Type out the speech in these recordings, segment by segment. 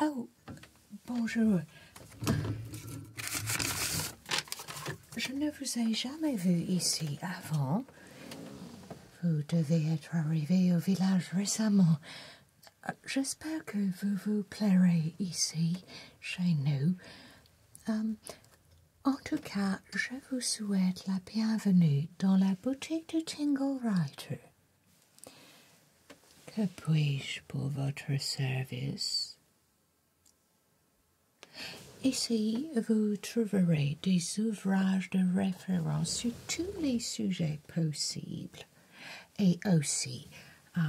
Ah, oh, bonjour. Je ne vous ai jamais vu ici avant. Vous devez être arrivé au village récemment. Euh, j'espère que vous vous plairez ici, chez nous. Euh, en tout cas, je vous souhaite la bienvenue dans la boutique de Tingle Writer. Que puis-je pour votre service Ici, vous trouverez des ouvrages de sur tous les sujets possibles et aussi euh,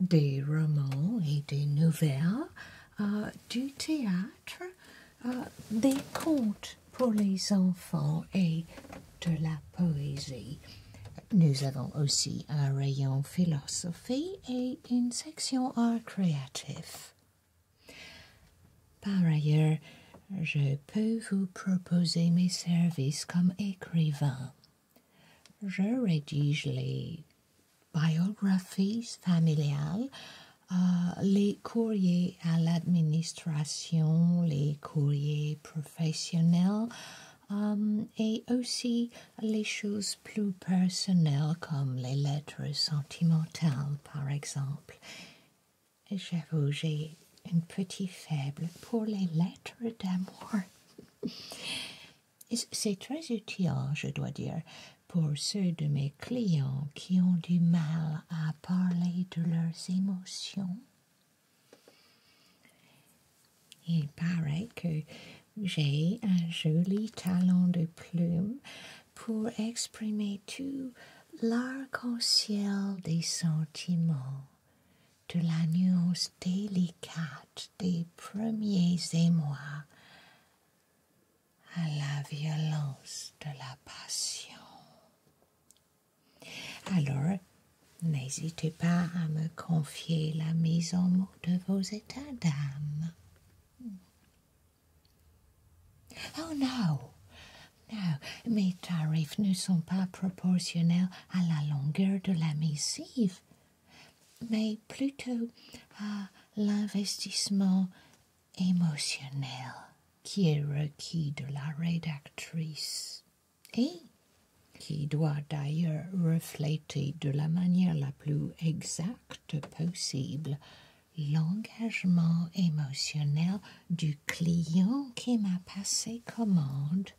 des romans et des nouvelles, euh, du théâtre, euh, des contes pour les enfants et de la poésie. Nous avons aussi un rayon philosophie et une section art créatif. Par ailleurs, je peux vous proposer mes services comme écrivain. Je rédige les biographies familiales, euh, les courriers à l'administration, les courriers professionnels euh, et aussi les choses plus personnelles comme les lettres sentimentales par exemple j'ai une petite faible pour les lettres d'amour. C'est très utile, je dois dire, pour ceux de mes clients qui ont du mal à parler de leurs émotions. Il paraît que j'ai un joli talent de plume pour exprimer tout l'arc-en-ciel des sentiments, de la nuance délicate des premiers émois à la violence de la passion. Alors, n'hésitez pas à me confier la mise en mots de vos états d'âme. Oh non, non, mes tarifs ne sont pas proportionnels à la longueur de la missive, mais plutôt à l'investissement émotionnel qui est requis de la rédactrice et qui doit d'ailleurs refléter de la manière la plus exacte possible l'engagement émotionnel du client qui m'a passé commande.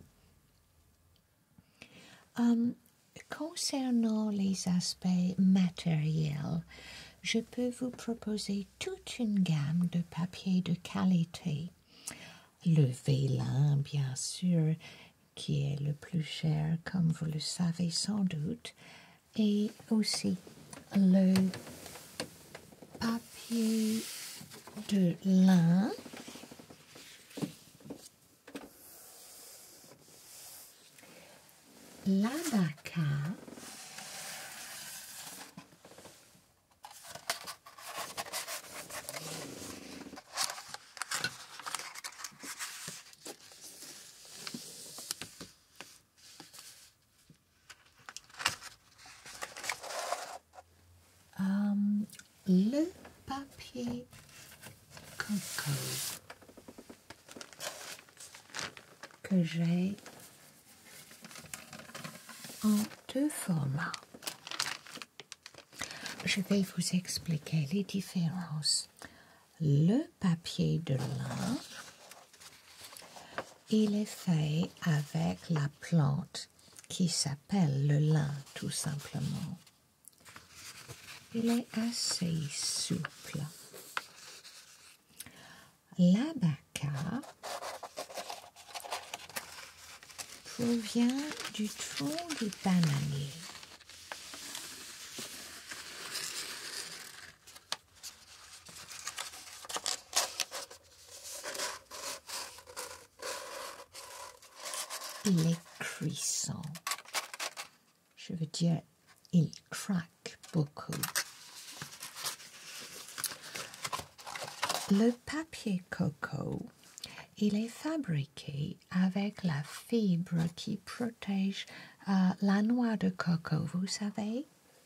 Hum, concernant les aspects matériels, je peux vous proposer toute une gamme de papiers de qualité. Le vélin, bien sûr, qui est le plus cher, comme vous le savez sans doute, et aussi le papier de lin l'abaka Um, le papier coco que j'ai en deux formats. Je vais vous expliquer les différences. Le papier de linge il est fait avec la plante qui s'appelle le lin tout simplement. Il est assez souple. L'abaca provient du tronc du bananier. Il est cuisson. Je veux dire, il craque beaucoup. Le papier coco, il est fabriqué avec la fibre qui protège euh, la noix de coco, vous savez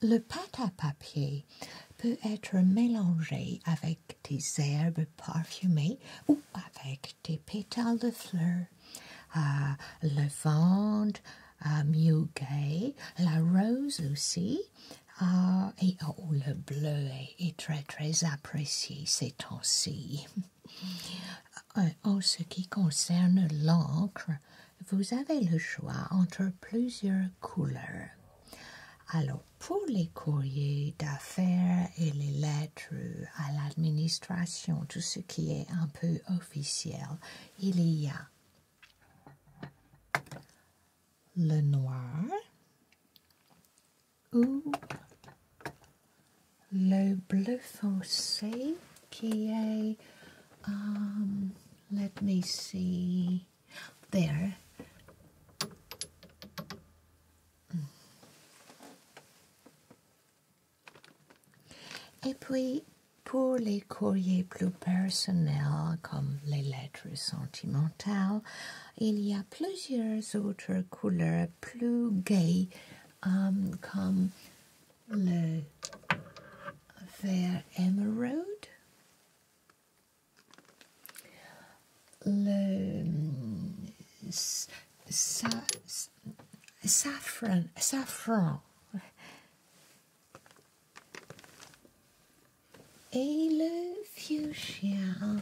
Le pâte à papier peut être mélangé avec des herbes parfumées ou avec des pétales de fleurs. le Levande, le muguet, la rose aussi, et oh, le bleu est très très apprécié ces temps-ci. Euh, en ce qui concerne l'encre, vous avez le choix entre plusieurs couleurs. Alors, pour les courriers d'affaires et les lettres à l'administration, tout ce qui est un peu officiel, il y a le noir ou le bleu foncé qui est Um, let me see. There. Et puis, pour les courriers plus personnels, comme les lettres sentimentales, il y a plusieurs autres couleurs plus gaies, um, comme le their emerald. Le, sa, saffron, saffron. Et le fuchsia.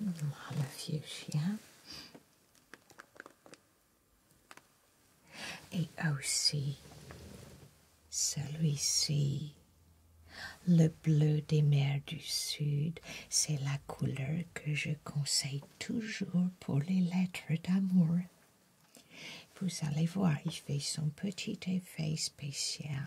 Le fuchsia. Et aussi celui-ci, le bleu des mers du Sud, c'est la couleur que je conseille toujours pour les lettres d'amour. Vous allez voir, il fait son petit effet spécial.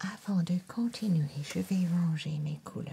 Avant de continuer, je vais ranger mes couleurs.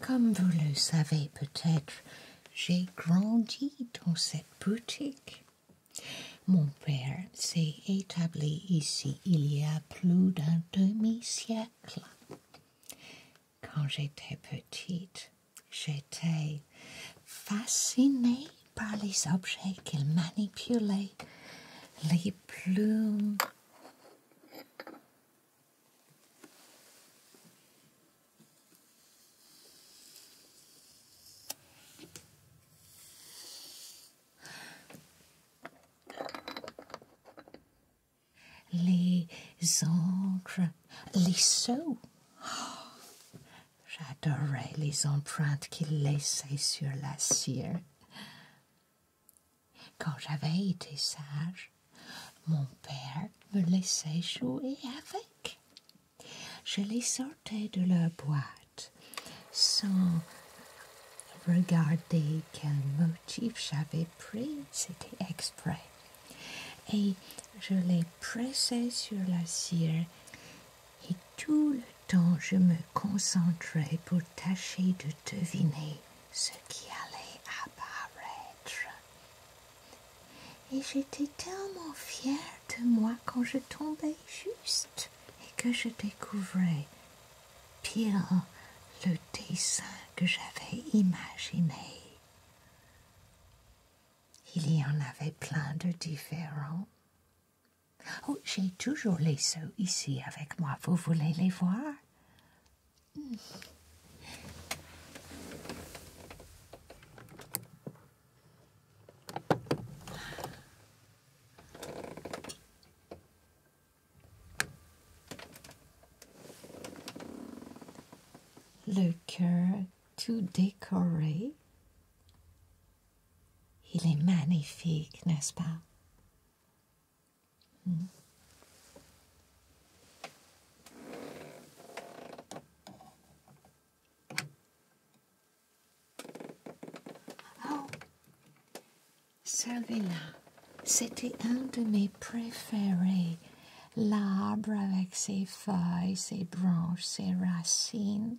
Comme vous le savez peut-être, j'ai grandi dans cette boutique. Mon père s'est établi ici il y a plus d'un demi-siècle. Quand j'étais petite, j'étais fascinée par les objets qu'il manipulait, les plumes, les encres, les sceaux. J'adorais les empreintes qu'il laissait sur la cire. Quand j'avais été sage, mon père me laissait jouer avec. Je les sortais de leur boîte sans regarder quel motif j'avais pris, c'était exprès. Et je les pressais sur la cire et tout le temps je me concentrais pour tâcher de deviner ce qui allait apparaître. Et j'étais tellement fière de moi quand je tombais juste et que je découvrais ...pire, le dessin que j'avais imaginé. Il y en avait plein de différents. Oh, j'ai toujours les seaux ici avec moi. Vous voulez les voir? Le cœur tout décoré. Il est magnifique, n'est-ce pas? Oh, mm. là c'était un de mes préférés. L'arbre avec ses feuilles, ses branches, ses racines.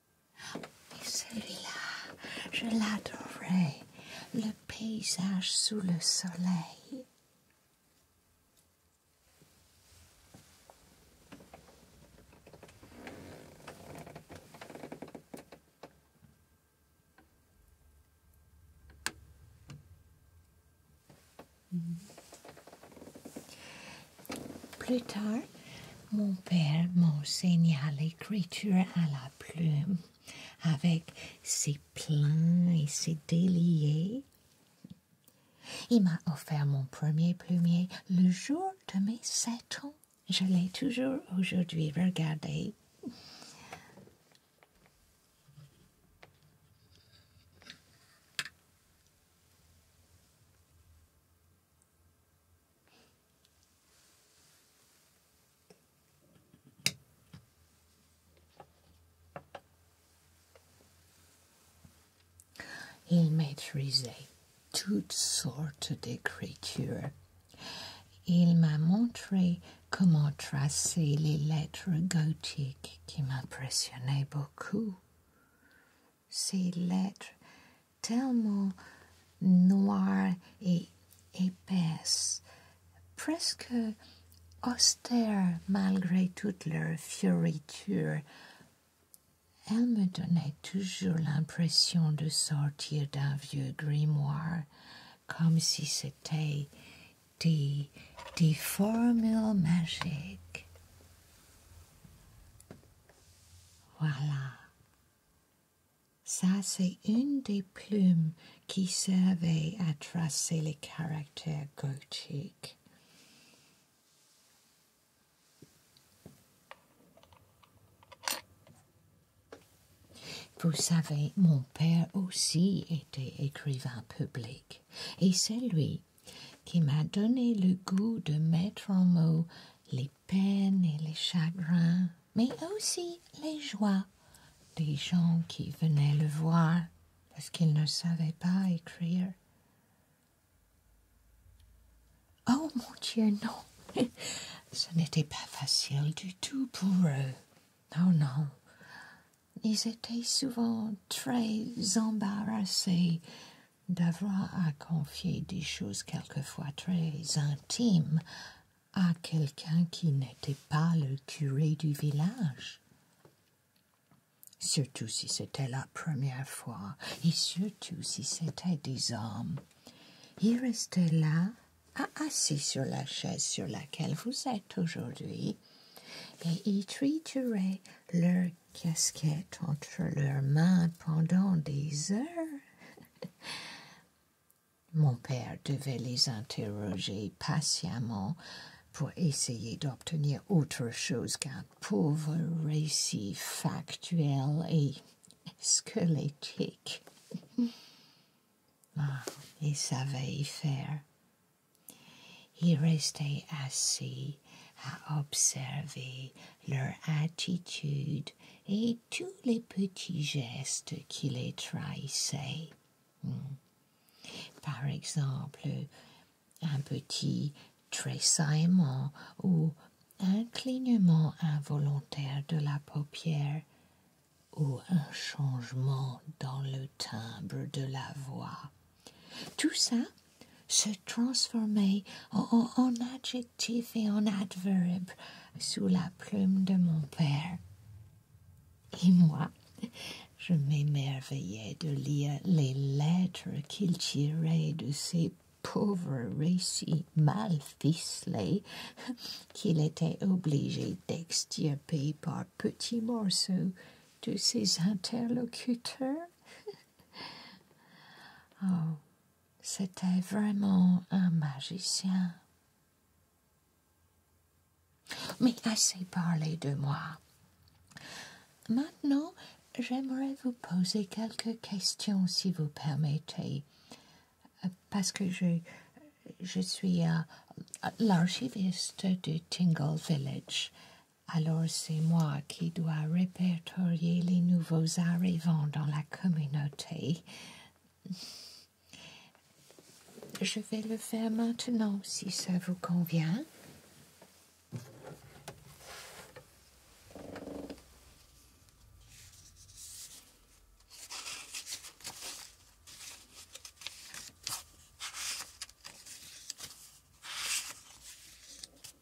celui-là, je l'adorais. Le paysage sous le soleil. Plus tard, mon père m'enseigna l'écriture à la plume, avec ses pleins et ses déliés. Il m'a offert mon premier plumier le jour de mes sept ans. Je l'ai toujours aujourd'hui regardé. Il maîtrisait toutes sortes d'écritures. Il m'a montré comment tracer les lettres gothiques qui m'impressionnaient beaucoup ces lettres tellement noires et épaisses, presque austères malgré toute leur fioriture. Elle me donnaient toujours l'impression de sortir d'un vieux grimoire, comme si c'était des formules magiques. Voilà. Ça, c'est une des plumes qui servait à tracer les caractères gothiques. Vous savez, mon père aussi était écrivain public, et c'est lui qui m'a donné le goût de mettre en mots les peines et les chagrins, mais aussi les joies des gens qui venaient le voir parce qu'ils ne savaient pas écrire. Oh mon Dieu, non. Ce n'était pas facile du tout pour eux. Oh non. Ils étaient souvent très embarrassés d'avoir à confier des choses quelquefois très intimes à quelqu'un qui n'était pas le curé du village. Surtout si c'était la première fois, et surtout si c'était des hommes. Il restait là, assis sur la chaise sur laquelle vous êtes aujourd'hui, et il trituraient leur casquette entre leurs mains pendant des heures. Mon père devait les interroger patiemment pour essayer d'obtenir autre chose qu'un pauvre récit factuel et squelettique. Ah, il savait y faire. Il restait assis à observer leur attitude et tous les petits gestes qui les trahissaient. Hmm. Par exemple, un petit tressaillement ou un clignement involontaire de la paupière ou un changement dans le timbre de la voix. Tout ça se transformer en, en adjectif et en adverbe sous la plume de mon père. Et moi, je m'émerveillais de lire les lettres qu'il tirait de ces pauvres récits mal ficelés qu'il était obligé d'extirper par petits morceaux de ses interlocuteurs. oh, c'était vraiment un magicien. Mais assez parlé de moi. Maintenant, j'aimerais vous poser quelques questions, si vous permettez, euh, parce que je, suis euh, l'archiviste du Tingle Village alors c'est moi qui dois répertorier les nouveaux arrivants dans la communauté. Je vais le faire maintenant si ça vous convient.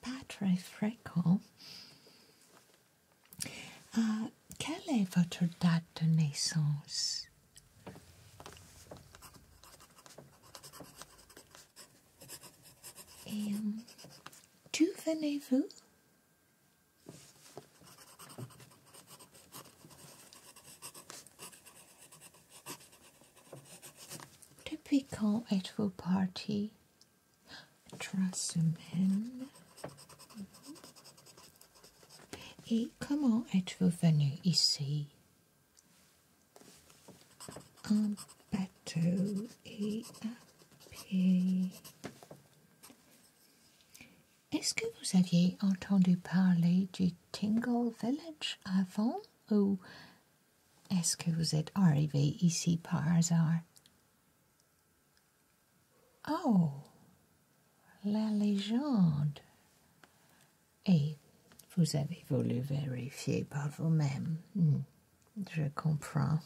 Patre Freckle uh, quelle est votre date de naissance? Et um, d'où venez-vous? Depuis Typical parti party. semaines. Et comment êtes-vous venu ici En bateau et à pied. Est-ce que vous aviez entendu parler du Tingle Village avant ou est-ce que vous êtes arrivé ici par hasard Oh, la légende. Et vous avez voulu vérifier par vous-même. Hmm, je comprends.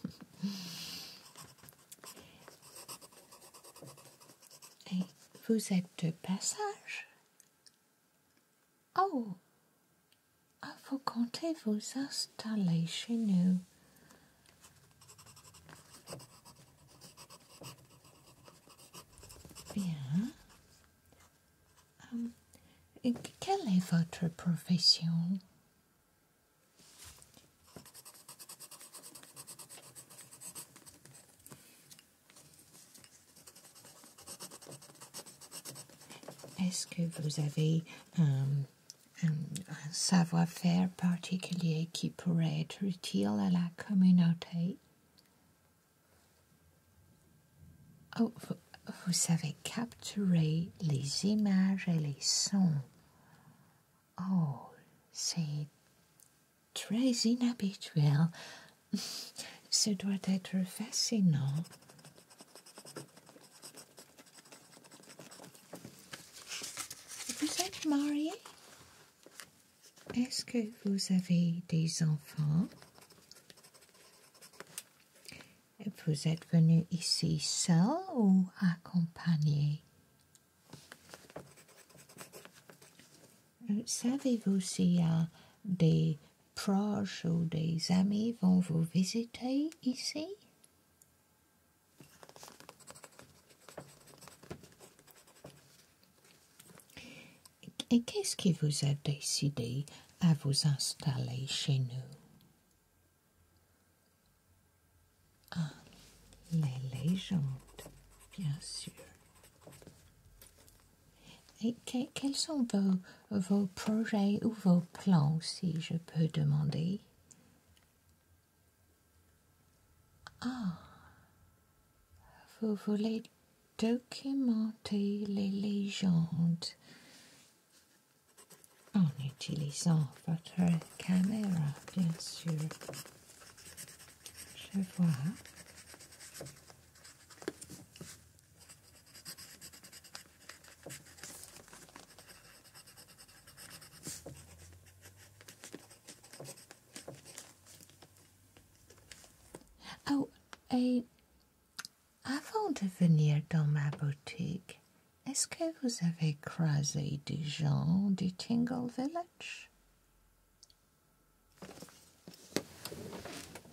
Et vous êtes de passage Oh, ah, vous comptez vous installer chez nous. Bien. Hum, quelle est votre profession est-ce que vous avez euh, un, savoir-faire particulier qui pourrait être utile à la communauté Oh, vous, vous savez capturer les images et les sons. Oh, c'est très inhabituel. Ce doit être fascinant. Vous êtes marié Est-ce que vous avez des enfants Vous êtes venu ici seul ou accompagné Savez-vous s'il y a des proches ou des amis vont vous visiter ici Et qu'est-ce qui vous a décidé à vous installer chez nous Ah, les légendes, bien sûr. Et quels sont vos, vos projets ou vos plans, si je peux demander Ah, vous voulez documenter les légendes en utilisant votre caméra, bien sûr. Je vois. Oh, a I found a veneer down my boutique. Est-ce que vous avez croisé des gens de Tingle Village?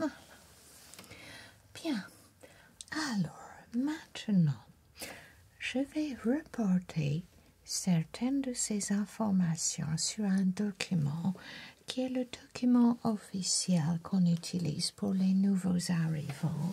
Ah. Bien. Alors, maintenant, je vais reporter certaines de ces informations sur un document qui est le document officiel qu'on utilise pour les nouveaux arrivants.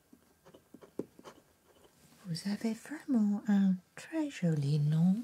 Vous avez vraiment un très joli nom.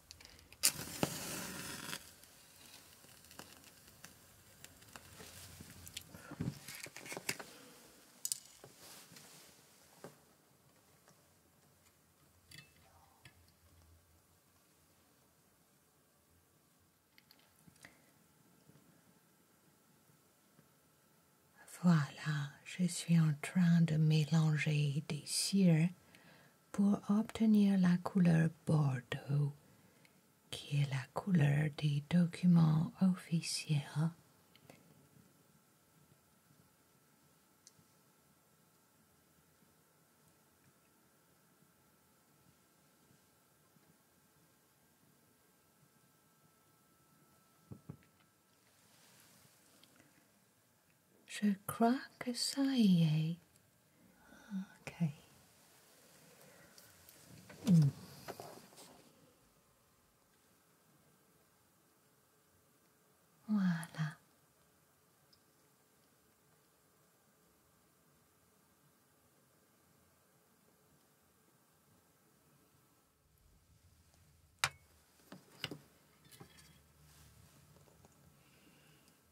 Voilà, je suis en train de mélanger des cires pour obtenir la couleur bordeaux, qui est la couleur des documents officiels. Je crois que ça y est. Ok. Voilà.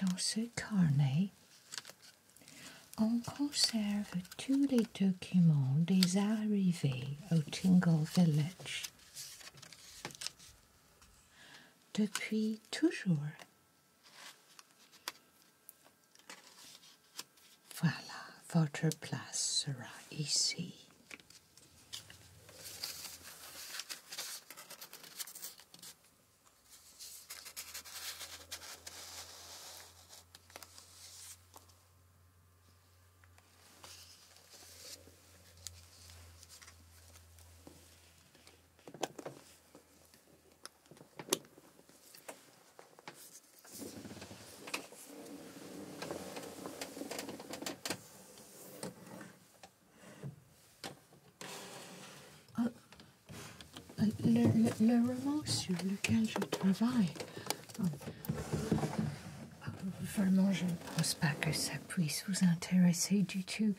Dans ce carnet, on conserve tous les documents des arrivées au Tingle Village. Depuis toujours. Voilà, votre place sera ici. Euh, le, roman sur lequel je travaille, euh, vraiment, je ne pense pas que ça puisse vous intéresser du tout.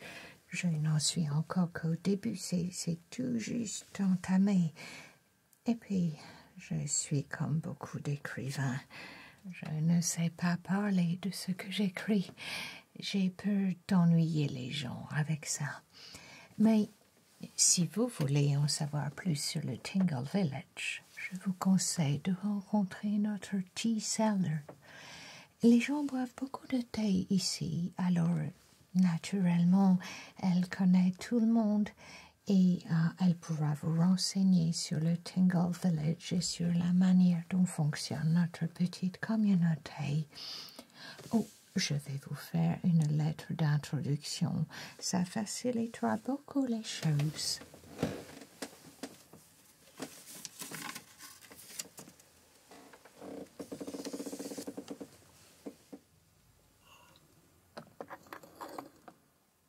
Je n'en suis encore qu'au début, c'est tout juste entamé. Et puis, je suis comme beaucoup d'écrivains. Je ne sais pas parler de ce que j'écris. J'ai peur d'ennuyer les gens avec ça. Mais si vous voulez en savoir plus sur le Tingle Village, je vous conseille de rencontrer notre tea seller. Les gens boivent beaucoup de thé ici, alors naturellement, elle connaît tout le monde et euh, elle pourra vous renseigner sur le Tingle Village et sur la manière dont fonctionne notre petite communauté. Oh, je vais vous faire une lettre d'introduction. Ça facilitera beaucoup les choses.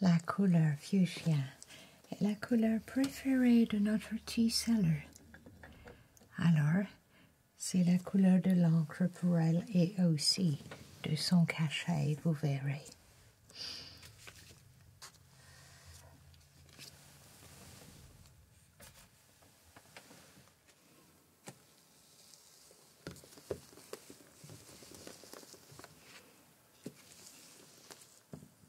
La couleur fuchsia la couleur préférée de notre tea seller. Alors, c'est la couleur de l'encre pour elle et aussi de son cachet, vous verrez.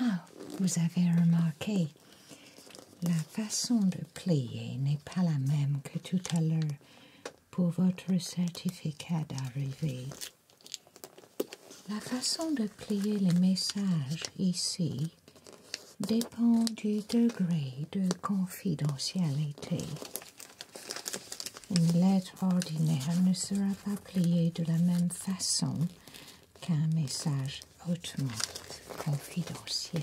Ah, vous avez remarqué, la façon de plier n'est pas la même que tout à l'heure pour votre certificat d'arrivée. La façon de plier les messages ici dépend du degré de confidentialité. Une lettre ordinaire ne sera pas pliée de la même façon qu'un message hautement confidentiel.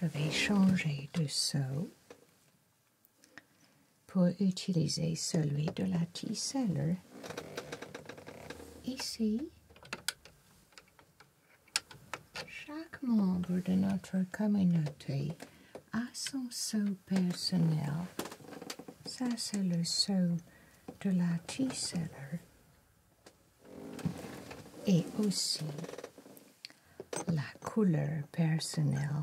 Je vais changer de seau pour utiliser celui de la T-Cellar, Ici, chaque membre de notre communauté a son seau personnel. Ça, c'est le seau de la T-Cellar, Et aussi la couleur personnelle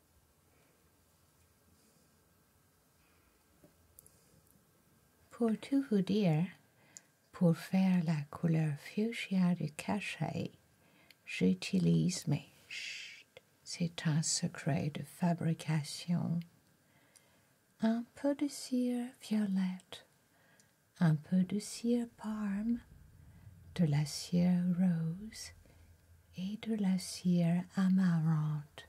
Pour tout vous dire, pour faire la couleur fuchsia du cachet, j'utilise, mes c'est un secret de fabrication, un peu de cire violette, un peu de cire parme, de la cire rose et de la cire amarante.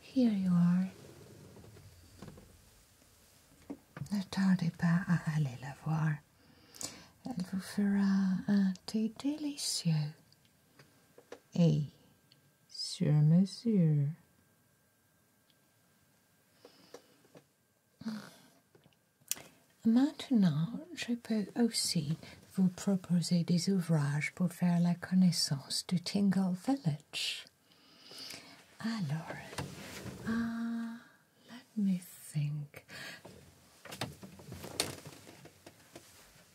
Here you are. Ne tardez pas à aller la voir. Elle vous fera un thé délicieux et sur mesure. Maintenant, je peux aussi vous proposer des ouvrages pour faire la connaissance du Tingle Village. Alors, ah, let me think.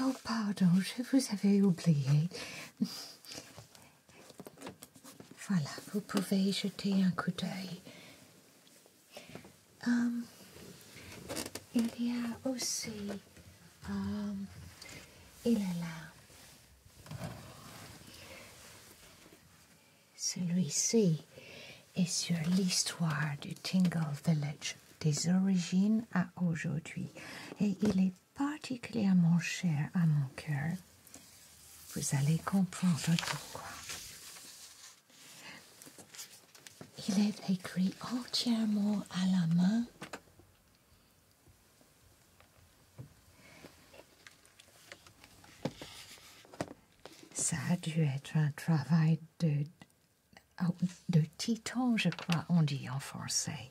Oh, pardon, je vous avais oublié. Voilà, vous pouvez jeter un coup d'œil. Hum, il y a aussi... Um, il est là. Celui-ci est sur l'histoire du Tingle Village des origines à aujourd'hui et il est particulièrement cher à mon cœur. Vous allez comprendre pourquoi. Il est écrit entièrement à la main. Ça a dû être un travail de, de titan, je crois, on dit en français.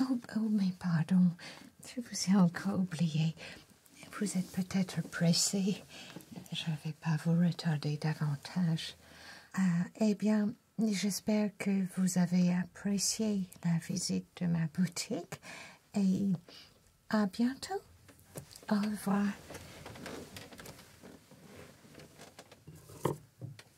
Oh, oh, mais pardon, je vous ai encore oublié. Vous êtes peut-être pressé. Je ne vais pas vous retarder davantage. Ah, eh bien, j'espère que vous avez apprécié la visite de ma boutique et à bientôt. Au revoir.